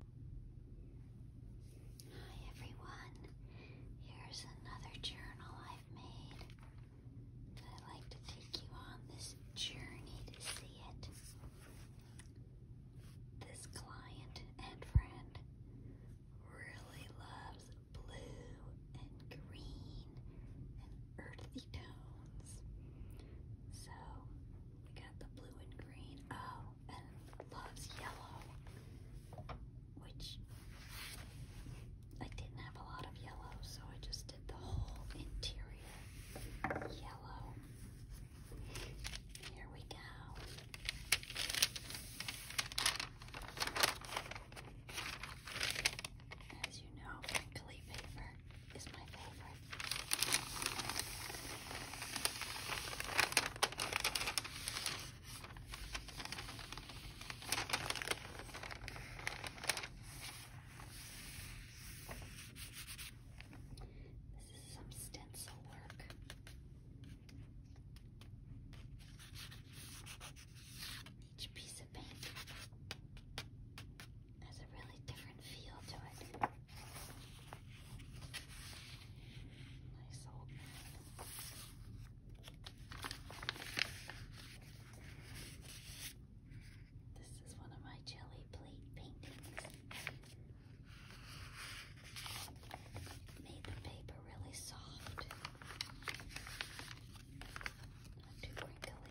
Hi everyone, here's another journal I've made. I'd like to take you on this journey to see it. This client and friend really loves blue and green and earthy tones. So we got the blue and green. Oh, and loves yellow, which I didn't have a lot of yellow, so I just did the whole interior yellow. Here we go. As you know, crinkly paper is my favorite. This is some stencil work. Each piece of paint has a really different feel to it. Nice old man. This is one of my jelly plate paintings. Made the paper really soft. Not too wrinkly.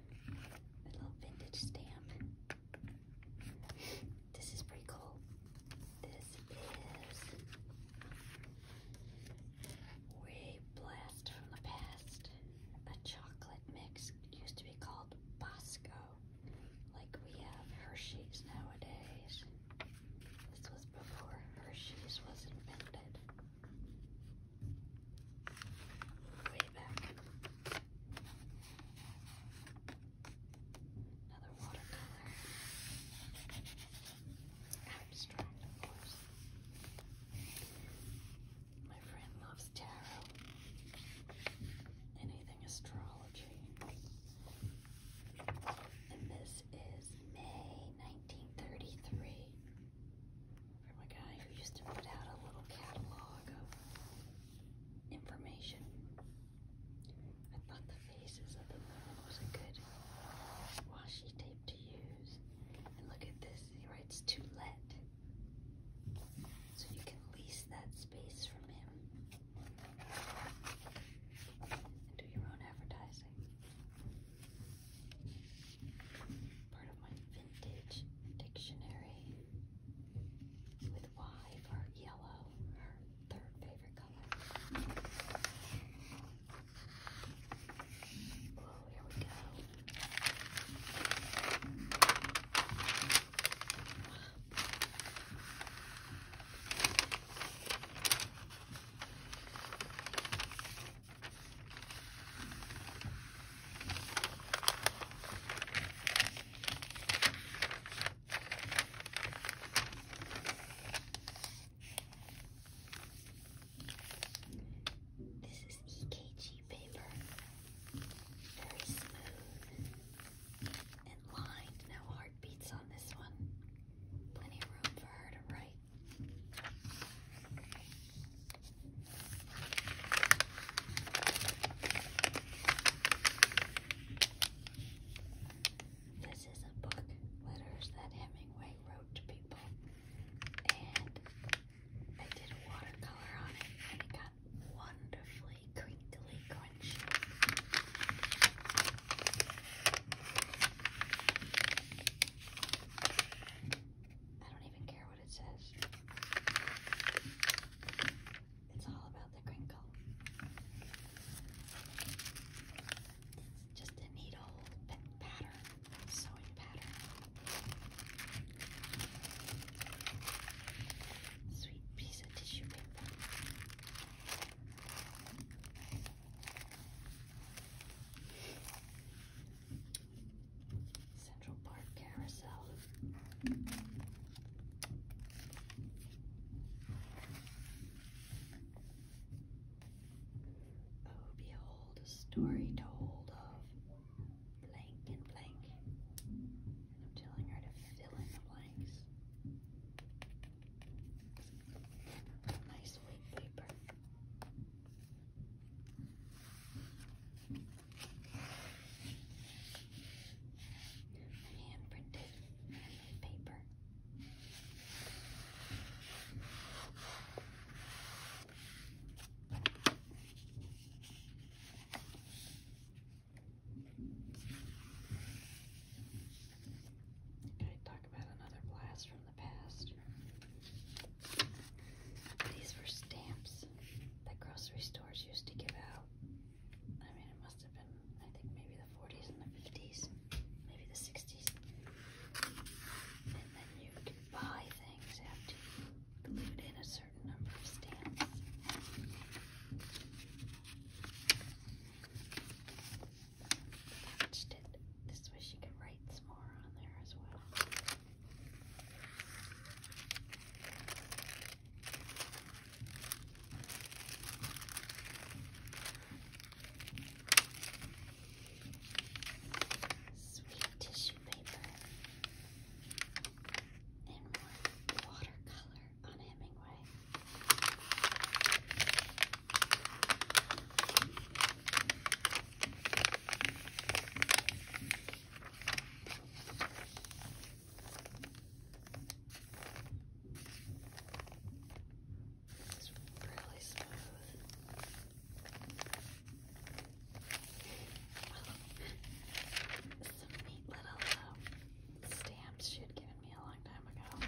A little vintage stamp. This is pretty cool. This is way blast from the past. A chocolate mix used to be called Bosco, like we have Hershey's nowadays. This was before Hershey's was invented. Way back. Another watercolor. Abstract, of course. My friend loves tarot. Anything astrology. And this is May 1933 from a guy who used to put out a little catalog of information. I thought the faces of the moon was a good washi tape to use. And look at this, he writes to let. So you can lease that space from him and do your own advertising part of my vintage dictionary with Y for yellow, her third favorite color. Oh, here we go. This is EKG paper. Very smooth and lined. No heartbeats on this one. Plenty of room for her to write. This is a book, Letters That Hemingway Wrote to People. And I did watercolor on it and it got wonderfully crinkly crunchy. I don't even care what it says. It's all about the crinkle. It's just a neat pattern, sewing pattern. Sweet piece of tissue paper. Central Park Carousel. Oh, behold, a story told of blank and blank. I'm telling her to fill in the blanks. Nice white paper hand printed paper. got talk about another blast from the past. These were stamps that grocery stores used to give out. I mean, it must have been, I think, maybe the 40s and the 50s, maybe the 60s. And then you could buy things after you glued in a certain number of stamps. Patched it this way she could write some more on there as well. Sweet tissue paper and more watercolor on Hemingway. It's really smooth. Well, some neat little uh, stamps she had given me a long time ago.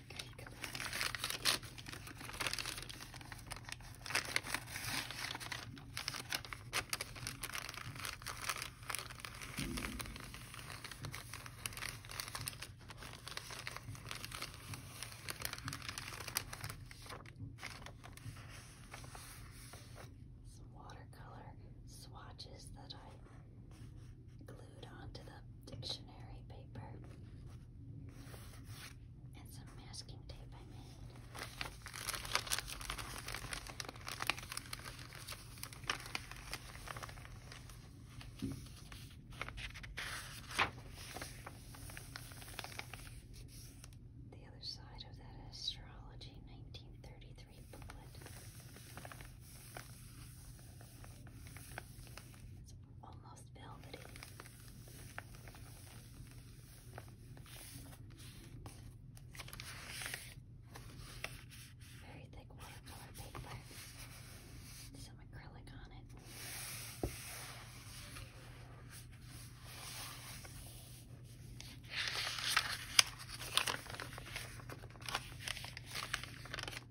cake. Some watercolor swatches that I glued onto the dictionary paper and some masking tape I made. The other side of that astrology 1933 booklet. It's almost velvety. Very thick watercolor paper. Some acrylic on it. I'm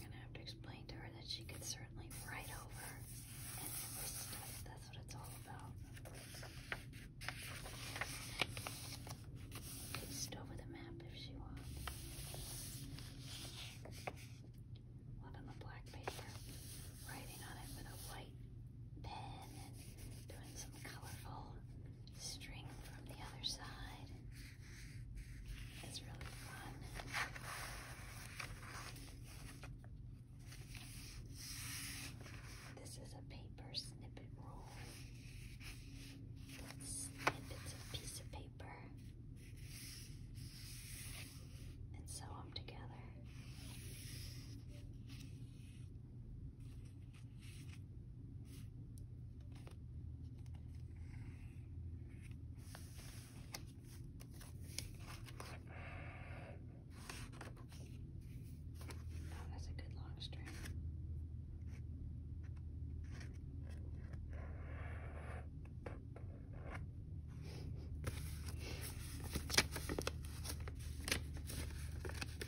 going to have to explain to her that she could certainly write over That's what it's all about. Paste over the map if she wants. Love the black paper, writing on it with a white doing some colorful string from the other side. It's really fun. This is a paper snippet roll. That's snippets of piece of paper and sew them together. Oh, that's a good long string. She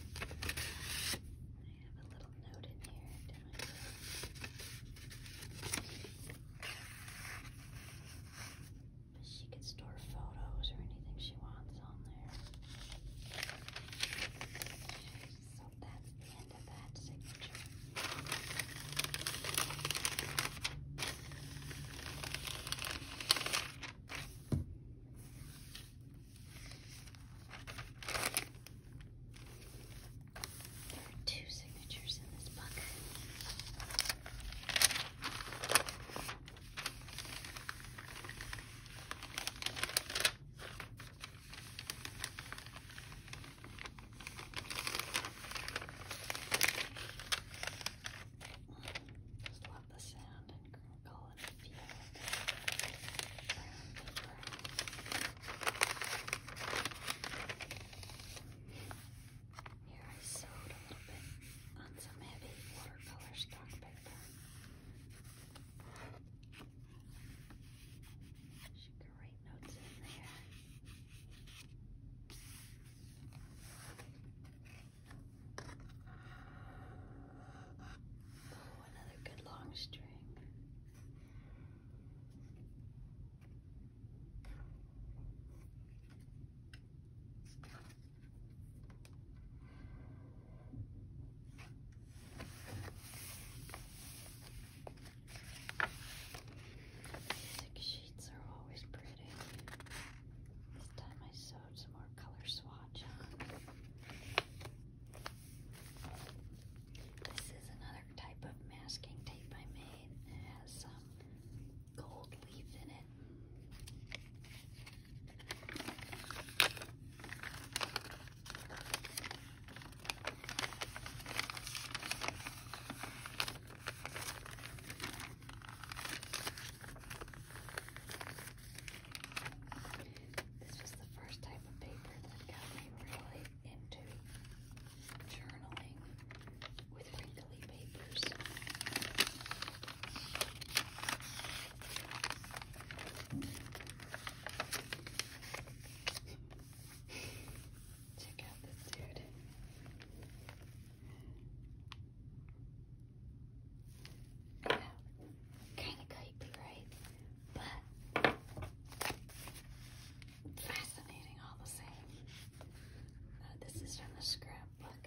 could store photos or anything she wants on there. So that's the end of that signature. There are two signatures in this book. Just love the sound and crinkle it Here I sewed a little bit on some heavy watercolor stock paper. There's great notes in there. Oh, another good long string. Music sheets are always pretty. This time I color swatch on. This is another type of masking tape I made. It has some gold leaf in it. This was the first type of paper that got me really into journaling with wrinkly papers. Check out this dude. I know, kind of creepy, But fascinating all the same. Uh, this is from the scrapbook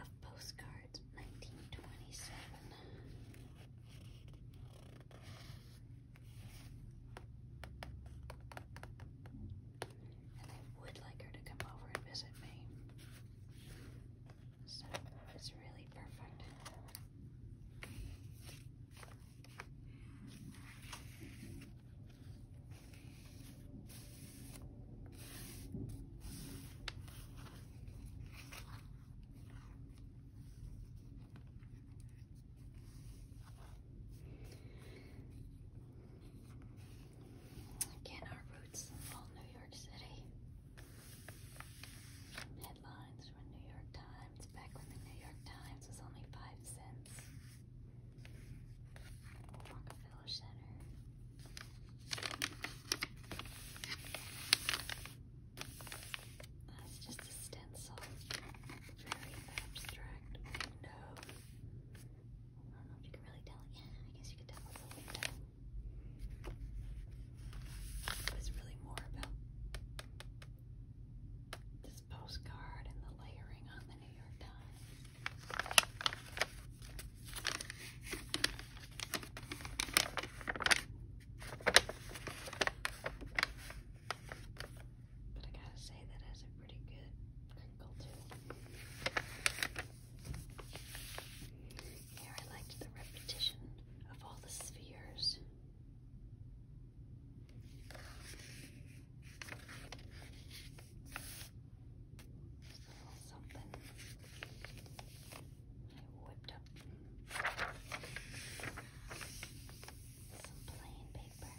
of postcards, 1927. And I would like her to come over and visit me. So it's really perfect. Again, our roots all New York City. headlines from New York Times, back when the New York Times was only five cents. Rockefeller Center. That's just a stencil. Very abstract window. I don't know if you can really tell. Yeah, I guess you could tell a little bit. But it's really more about this postcard and the layering on the New York Times. But I gotta say that has a pretty good crinkle too. Here I liked the repetition of all the spheres. something I whipped up some plain paper.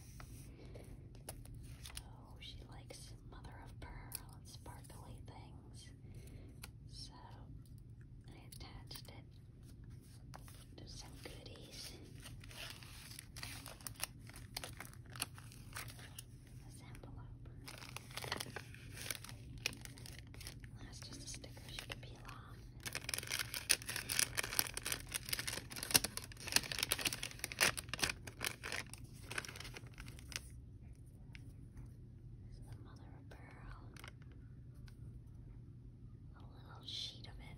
Oh, she likes mother of pearl and sparkly things. So I attached it to some goodies. This envelope. That's just a sticker she can peel off the mother of pearl. A little sheet of it.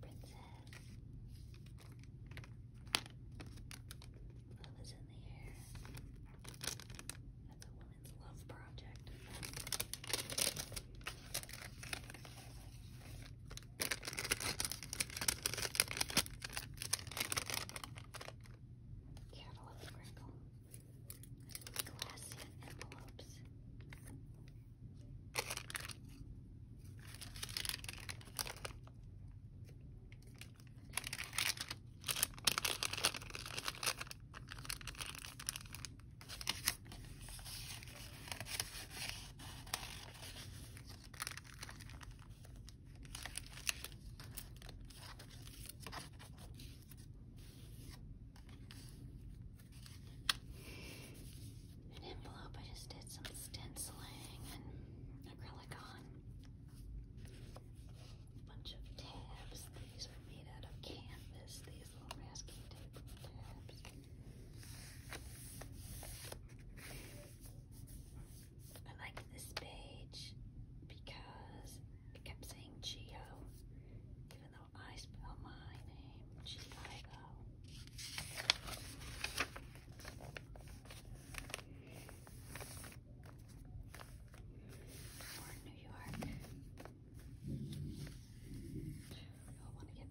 Princess. Love is in the air. That's a woman's love project. Cantaloupe crinkle. Glassy envelopes. An envelope, I just did some stenciling and acrylic on. A bunch of tabs. These were made out of canvas. These little masking tape tabs. I like this page because it kept saying Geo, even though I spell my name G-I-O. Or New York. I want to get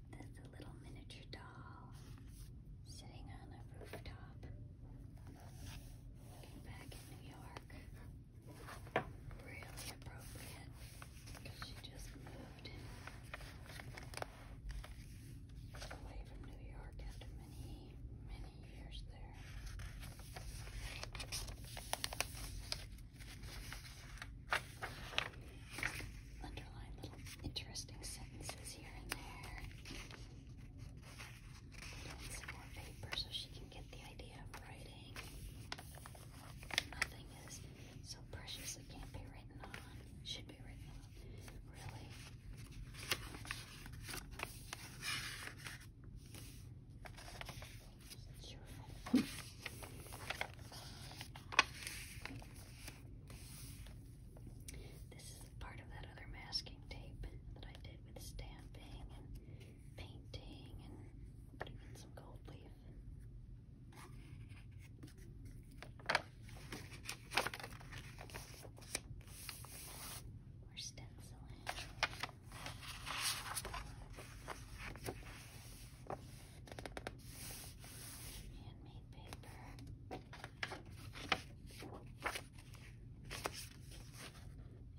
There's a little miniature doll sitting on a rooftop. Looking back in New York. Really appropriate because she just moved away from New York after many, many years there underline little interesting sentences here and there. Put some more paper so she can get the idea of writing. Nothing is so precious it can't be written on. Should be written on, really. This is part of that other masking tape that I did with stamping and painting and putting in some gold leaf. More stenciling. Handmade paper. And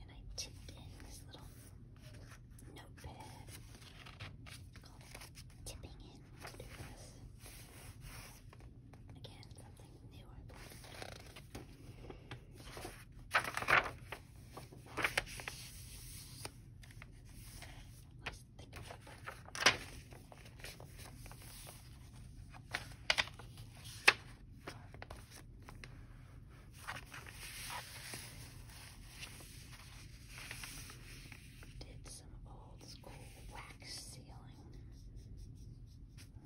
I tipped in this little notepad. tipping in. do this. Again, something new this thick Did some old school wax sealing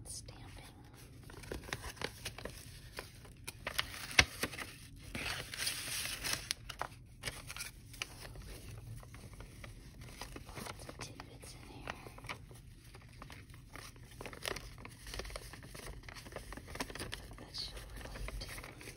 stamping. Lots of tidbits in here. That should relate to Florida.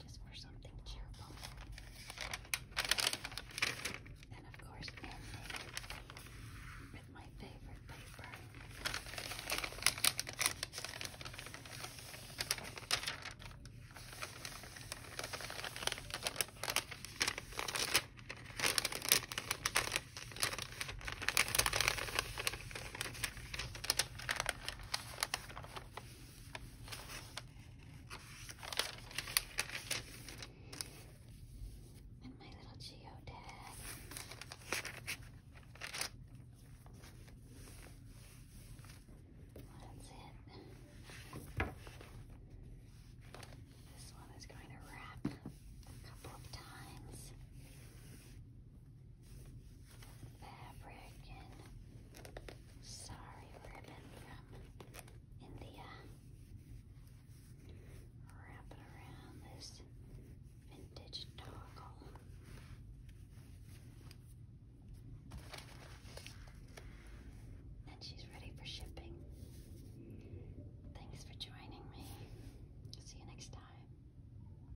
Just for something cheerful. And of course, ending with my favorite paper. And my little geodad. Well, that's it. This one is going to wrap a couple of times fabric and sorry ribbon from India. Wrap around this vintage toggle. And she's ready for shipping. Thanks for joining me. See you next time.